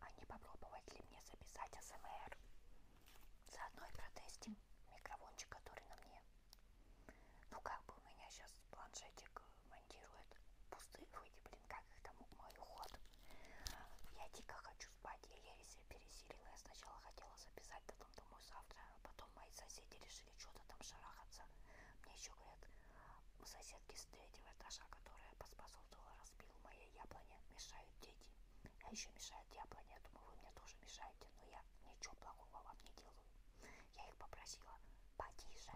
А не попробовать ли мне записать АСМР? Заодно и протестим микрофончик, который на мне. Ну как бы у меня сейчас планшетик монтирует пустые люди, блин, как их там мой уход. Я дико хочу спать, я еле себя пересилила. Я сначала хотела записать, потом думаю завтра, а потом мои соседи решили что-то там шарахаться. Мне еще говорят, у соседки с третьего этажа, которая поспособствовала разбилу моей яблони, мешают дети. А еще мешают яблони. Я думаю, вы мне тоже мешаете, но я ничего плохого вам не делаю. Я их попросила потише,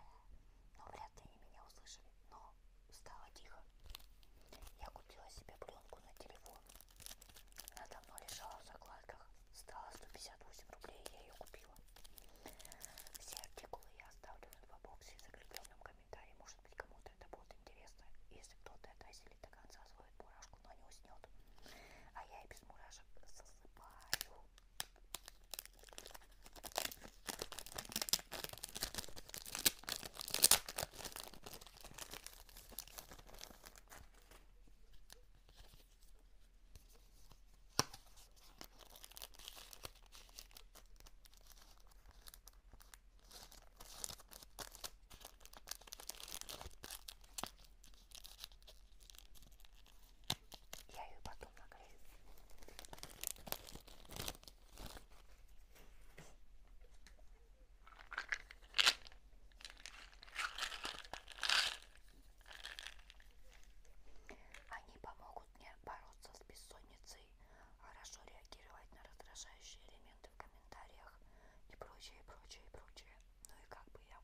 но вряд ли они меня услышали. Но стало тихо. Я купила себе пленку на телефон. Она давно лежала в закладках. Стала 158 рублей, я ее купила. Все артикулы я оставлю в инфобоксе в закрепленном комментарий. Может быть, кому-то это будет интересно. Если кто-то это осилит до конца свою мурашку, но не уснет. А я и без мурашек засыпаю. Я ее потом нагрею. Они помогут помогут мне бороться с бессонницей, а хорошо реагировать на раздражающие элементы в комментариях и прочее, прочее, прочее. Ну и как бы я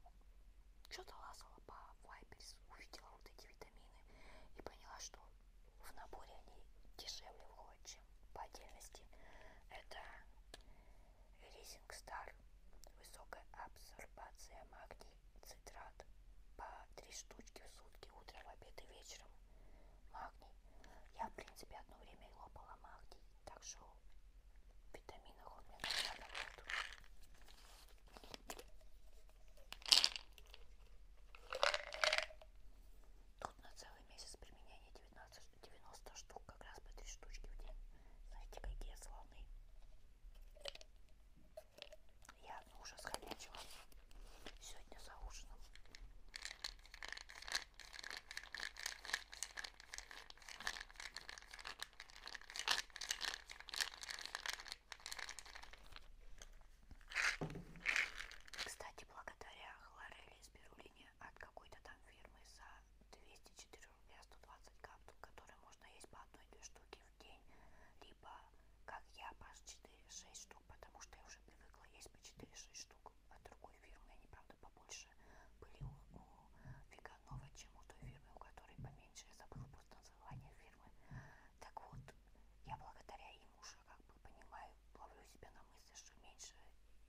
что-то лазала по Вайберс, увидела вот эти витамины и поняла, что в наборе они дешевле выходят, чем по отдельности. Это Rising Star, высокая абсорбация магния цитрат по 3 штучки в сутки, утром, в обед и вечером. Магний. Я, в принципе, одно время и лопала магний, так что в витаминах он мне надо будет. Тут на целый месяц применения 19, 90 штук, как раз по 3 штучки в день. Знаете, какие слоны. Я ужас конячила сегодня за ужином. Кстати, благодаря хлорели спирулине от какой-то там фирмы за 204 рубля 120 капсул, которые можно есть по одной-две штуки, в день, либо как я по 4-6 штук, потому что я уже привыкла есть по 4-6 штук от другой фирмы. Они, правда, побольше были у, у Веганова, чем у той фирмы, у которой поменьше. Я забыла просто название фирмы. Так вот, я благодаря им уже как бы понимаю, ловлю себя на мысли, что меньше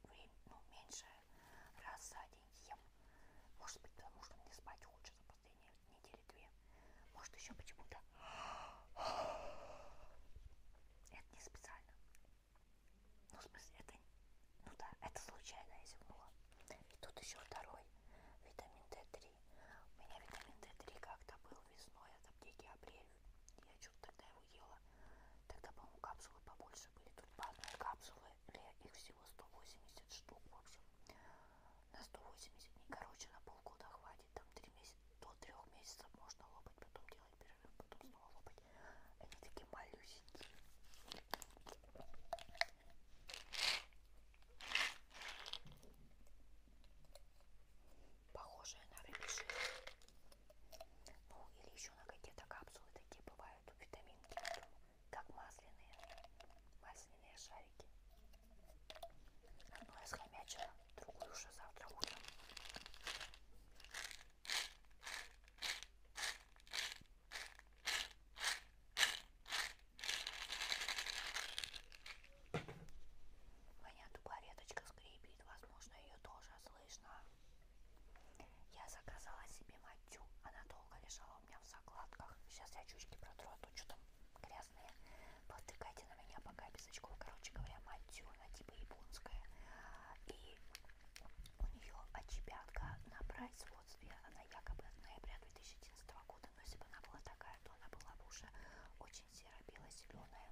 время, ну, меньше раз за день ем. Может быть, потому что мне спать хочется последние недели две. Может, еще почему-то. Это не специально. Ну, в смысле, это... Ну да, это случайно я зевнула. И тут еще второй витамин D3. У меня витамин D3 как-то был весной от аптеки апрель. Я что-то тогда его ела. Тогда, по-моему, капсулы побольше были. Тут по одной капсуле их всего 180 штук, в общем на 180 дней. Короче, на полгода хватит, там 3 месяца, до 3 месяцев можно лопать, потом делать перерыв, потом снова лопать. Они такие малюсенькие. Похожие на рыбий жир. Ну, или еще на какие-то капсулы такие бывают, витаминки как масляные, масляные шарики. Одну я схомячила, другую уже завтра утром. Меня тупо веточка скрипит, возможно, ее тоже слышно. Я заказала себе матью, она долго лежала у меня в закладках. Сейчас я чучки протру, а то что там грязные. Потыкайте на меня пока без очков. Короче говоря, мать она типа японская. И у нее отчепятка на производстве. Она якобы от ноября 2011 года. Но если бы она была такая, то она была бы уже очень серо-бело-зеленая.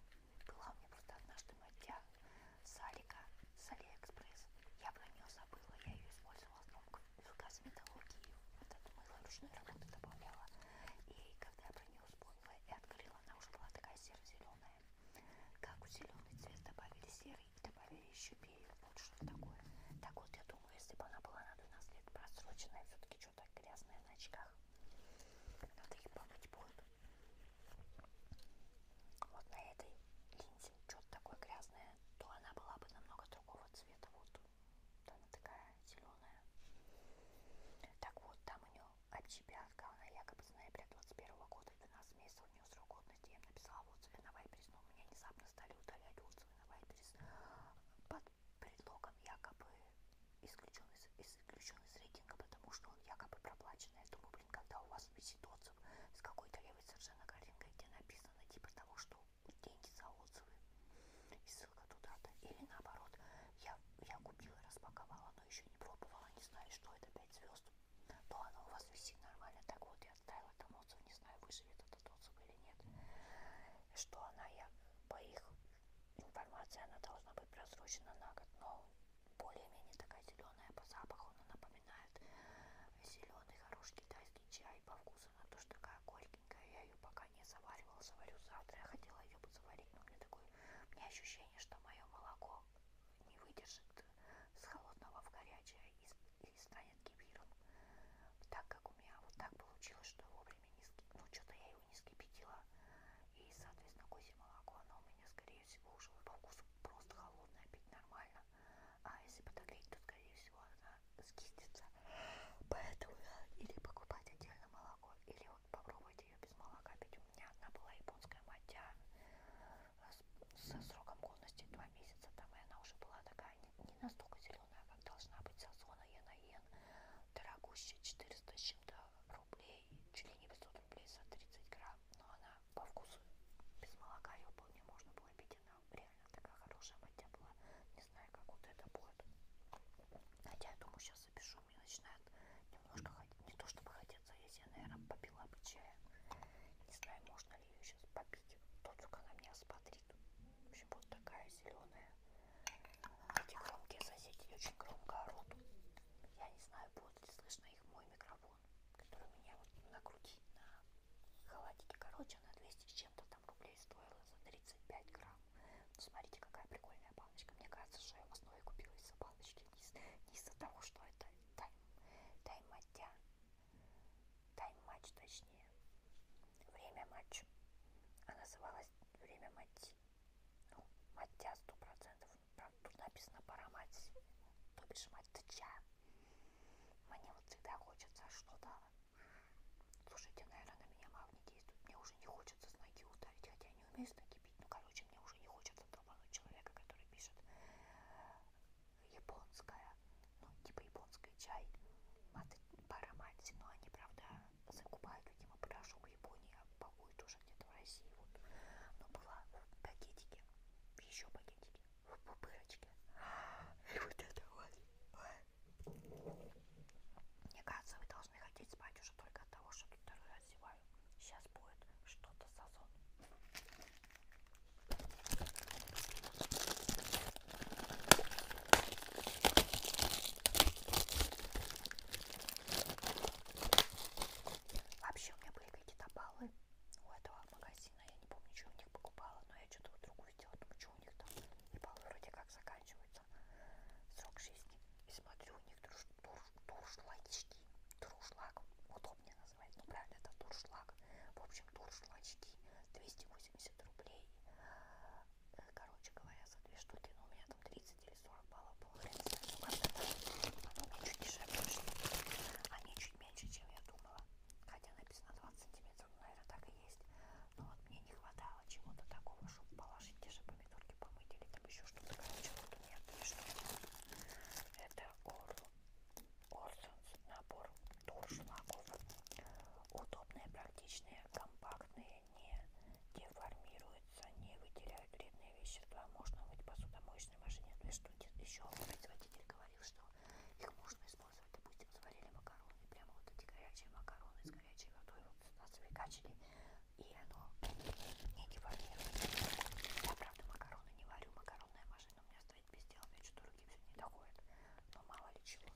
Была у меня просто однажды маття Салика с Алиэкспресс. Я про нее забыла, я ее использовала в основном филгаз металлургии, вот это мыло ручной работы добавляла. И когда я про нее вспомнила и открыла, она уже была такая серо-зеленая. Как у зеленый цвет добавили серый и добавили еще белый, вот что такое. Так вот, я думаю, если бы она была на 12 лет просроченная, все-таки что-то грязное на очках. Надо их помыть будет. Вот на этой линзе что-то такое грязное то она была бы намного другого цвета. Вот она такая зеленая. Так вот, там у нее отчепятка, она якобы с ноября 21 года, 12 месяцев у нее срок годности. Я им написала в отзыве на Вайберис, но меня внезапно стали удалять отзывы на Вайберис под предлогом якобы исключен из, исключен из рейтинга, потому что он якобы проплачен. Я думаю, блин, когда у вас в 10 отзывов с какой-то левой совершенно картинкой, где написано типа того, что деньги за отзывы и ссылка туда-то. Или наоборот, я, я купила, распаковала, но еще не пробовала, не знаю, что это 5 звезд. То оно у вас висит нормально. Так вот, я отставила там отзыв, не знаю, выживет этот отзыв или нет. Что она, я по их информации, она должна быть просрочена на год, но более-менее такая зеленая по запаху, она напоминает зеленый хороший китайский чай по вкусу, она тоже такая горькенькая, я ее пока не заваривала, заварю завтра, я хотела ее бы заварить, но у меня такое, у меня ощущение, что мое молоко не выдержит с холодного в горячее и, и станет кефиром, так как у меня вот так получилось, что вовремя не скипятила, ну что-то я его не скипятила, и соответственно козье молоко, оно у меня скорее всего уже по вкусу просто холодное, пить нормально, а если подогреть, то, скорее всего, она скистится. Поэтому я э, или покупать отдельно молоко, или вот попробовать ее без молока. Ведь у меня одна была японская матья э, со сроком годности 2 месяца, там и она уже была такая не, не настолько зеленая, как должна быть сазона Янаен, дорогущая 400 с чем-то рублей, чуть ли не 500 рублей за 30 грамм, но она по вкусу без молока ее вполне можно было пить. Она реально такая хорошая маття была. Не знаю, как вот это будет. Хотя я думаю, сейчас запишу. Мне начинает немножко ходить. Не то чтобы хотеться, если я, наверное, попила бы чая. Не знаю, можно ли ее сейчас попить. Тот, только она меня смотрит. В общем, вот такая зеленая. Эти громкие соседи очень громко орут. Я не знаю, будет ли слышно их мой микрофон телефон, который у меня вот на груди, на халатике, короче, она 200 с чем-то там рублей стоила за 35 грамм. Ну, смотрите, какая прикольная баночка. Мне кажется, что я в основе купила из-за баночки, не, из- не из-за того, что это тайм, тайм-матя, тайм-матч точнее, время матч. А называлась время мати. Ну, матя 100% там тут написано пора мать, то бишь мать тыча. Мне вот всегда хочется что-то... Слушайте, наверное, на меня магнит действует. Мне уже не хочется с ноги ударить, хотя я не умею с ноги бить. Ну, короче, мне уже не хочется долбануть человека, который пишет японская, ну, типа японская чай, маты, пара мать, но они, правда, закупают, видимо, порошок в Японии, а пакуют уже где-то в России, вот, но была в пакетике, еще пакетике, в пупырочке. И вот это вот. Мне кажется, вы должны хотеть спать уже только от того, что тут второй раз зеваю. Сейчас будет что-то сазон. Вообще у меня были какие-то баллы у этого магазина, я не помню, что у них покупала, но я что-то другую сделала, думаю, что у них там, ебал, вроде как заканчивается срок жизни. И смотрю, у них турш, турш, туршлачки, туршлаг, удобнее назвать, ну правильно, это туршлаг. В общем, туршлачки, 280 рублей, э, короче говоря, за две штуки, но ну, у меня там 30 были 40 баллов, было хрен знает, ну как-то даже, ну, чуть дешевле вышли, они чуть меньше, чем я думала, хотя написано 20 сантиметров, ну, наверное, так и есть, но вот мне не хватало чего-то такого, чтобы положить те же помидорки, помыть или там еще что-то, короче, вот у меня три штуки, это Орл, Орсонс, набор туршлагов, удобные, практичные, компактные, не деформируют портятся, не выделяют вредные вещества. Можно мыть посудомоечной машине. То есть, что еще производитель говорил, что их можно использовать, допустим, сварили макароны, прямо вот эти горячие макароны с горячей водой вот нас выкачали, и оно не деформируется. Я, правда, макароны не варю, макаронная машина у меня стоит без дела, мне что-то руки все не доходят, но мало ли чего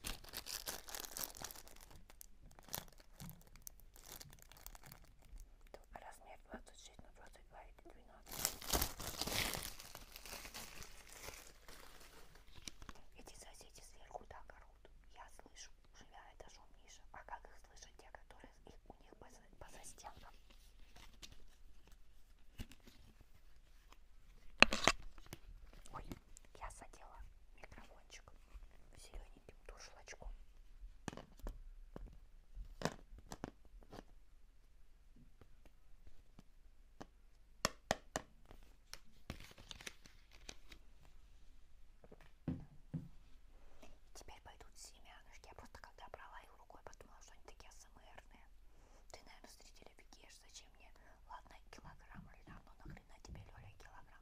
размер 26 на 22 или 12. Эти соседи сверху так орут. Я слышу, живя этажом ниже. А как их слышат те, которые их, у них по, по застенкам? Ой, я задела микрофончик зелененьким дуршлачком. Теперь пойдут семянышки. Я просто когда брала их рукой, подумала, что они такие АСМРные. Ты, наверное, зрители бегешь. Зачем мне? Ладно, килограмм льна, но нахрена тебе, Лёля, килограмм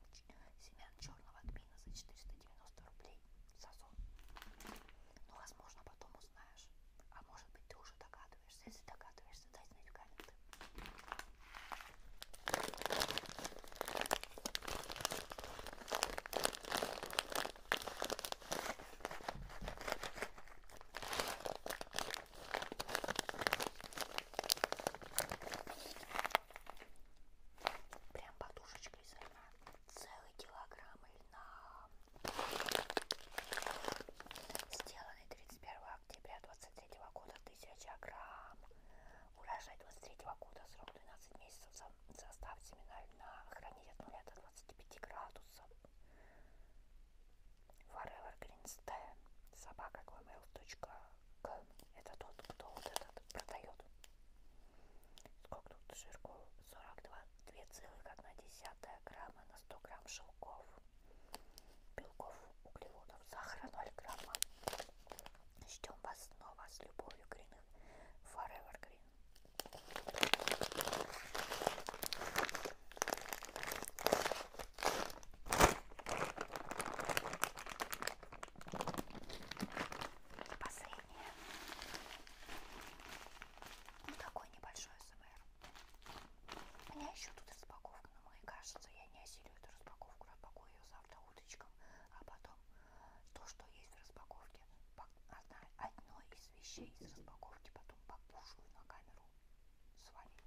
семян черного тмина за 490 рублей? ей сазон. Ну, возможно, потом узнаешь. А может быть, ты уже догадываешься. Если догадываешься, дай знать в комменты. Прям подушечка приблизительно целый килограмм льна, сделанный 31 октября 23 года, 1000 грамм, урожай 23 года, срок 12 месяцев, состав семена льна, хранить от 0 до 25 градусов, Forever Green Stay, собака gmail.com к... Это тот, кто вот этот продает. Сколько тут жирков? 42, 2,1 грамма на 100 грамм шелков, белков, углеводов, сахара 0 грамма. Ждем вас снова с любовью, Green Forever Green. Последнее. Ну, такой небольшой СМР. У меня еще тут распаковка, но мне кажется, я не осилю эту распаковку. Распакую ее завтра уточком, а потом то, что есть в распаковке, одна, одно из вещей из распаковки потом покушаю на камеру с вами.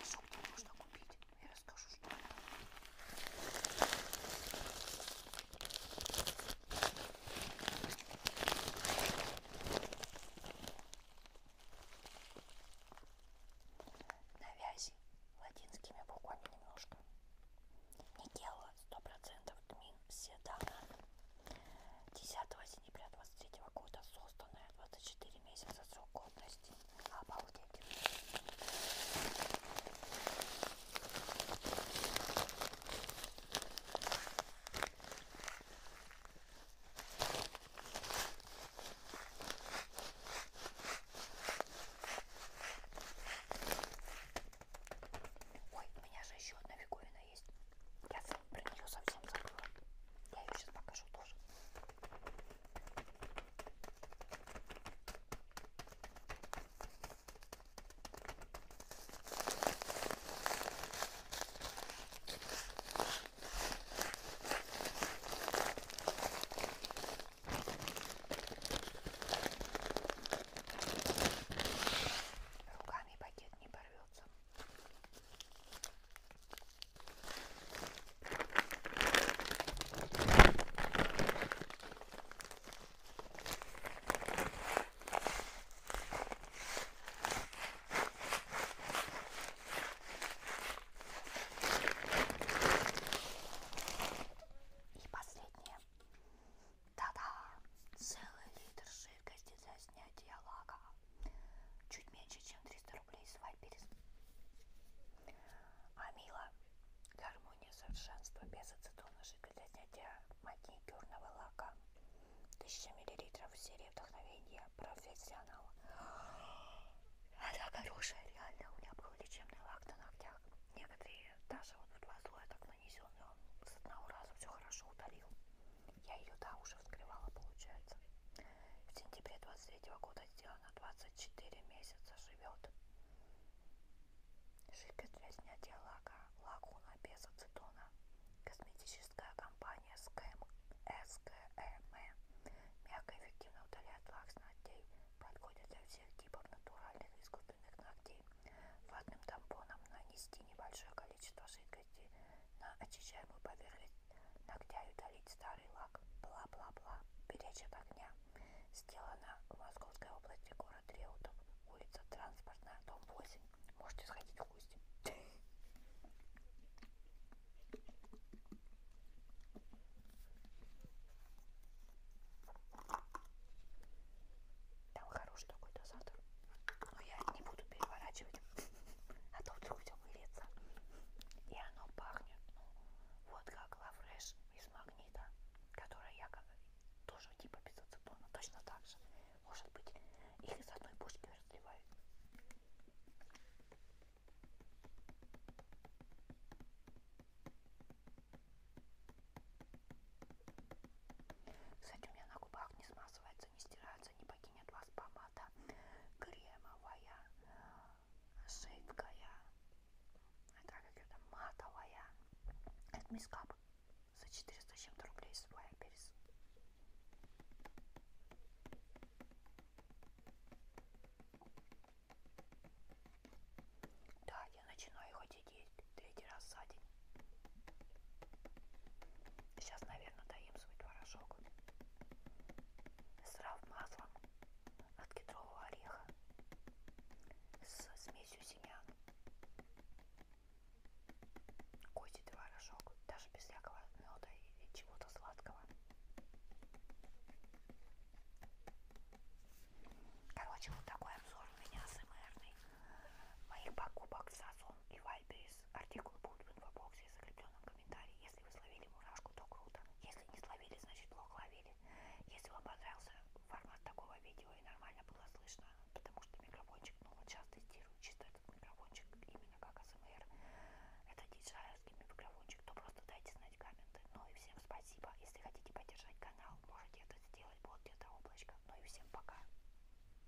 Скажу, где можно купить. Я расскажу, что это. На вязи латинскими буквами немножко. Никела, 100% тмин, седана. 10 сентября 23 года созданная, 24 месяца срок годности. Слушайте, обалдеть. Ой, у меня же еще одна фиговина есть. Я про нее совсем забыла. Я ее сейчас покажу тоже. Руками пакет не порвется. И последнее. Да-да, целый литр жидкости для снятия лака. Чуть меньше, чем 300 люблю из Вайперис. Амила. Гармония совершенства без ацетона жидкость для снятия маникюрного лака. 1000 мл серия вдохновения профессионала. Она хорошая, реально. У меня был лечебный лак на ногтях. Некоторые даже вот в два слоя так нанесен, но с одного раза все хорошо удалил. Я ее, да, уже вскрывала, получается. В сентябре 23 -го года сделано 24 месяца живет. Жидкость для снятия лака. Лагуна без ацетона. Косметическая компания СКМ. СКМ. E. Мягко и эффективно удаляет лак с ногтей. Подходит для всех типов натуральных и искусственных ногтей. Ватным тампоном нанести небольшое количество жидкости жидкости на очищаемую поверхность ногтя и удалить старый лак. Бла-бла-бла. Беречь от огня. Сделано в Московской области, город Реутов, улица Транспортная, дом 8. Можете сходить в гости. Там хороший такой дозатор, но я не буду переворачивать. А то вдруг все выльется. И оно пахнет, ну, вот как лавреш из магнита, который якобы тоже типа безоцетона, точно так же. Может быть, их из одной пушки разливают. Кстати, у меня на губах не смазывается, не стирается, не погибает нет у вас помада кремовая, жидкая, а как ее там, матовая. Это мискап за 400 чем-то рублей свой перец. Да, я начинаю ходить есть третий раз за день. Сейчас, наверное, мгновенно даем свой творожок срав маслом от кедрового ореха с смесью семян. Козий творожок, даже без всякого меда или чего-то сладкого. Короче, вот такой обзор у меня СМРный моих покупок с Сазон и Вай сайта из артикула будут в инфобоксе и закрепленном комментарии. Если вы словили мурашку, то круто. Если не словили, значит плохо ловили. Если вам понравился формат такого видео и нормально было слышно, потому что микрофончик, ну вот сейчас тестирую чисто этот микрофончик именно как АСМР, это диджайовский микрофончик, то просто дайте знать комменты. Ну и всем спасибо. Если хотите поддержать канал, можете это сделать. Вот где-то облачко. Ну и всем пока.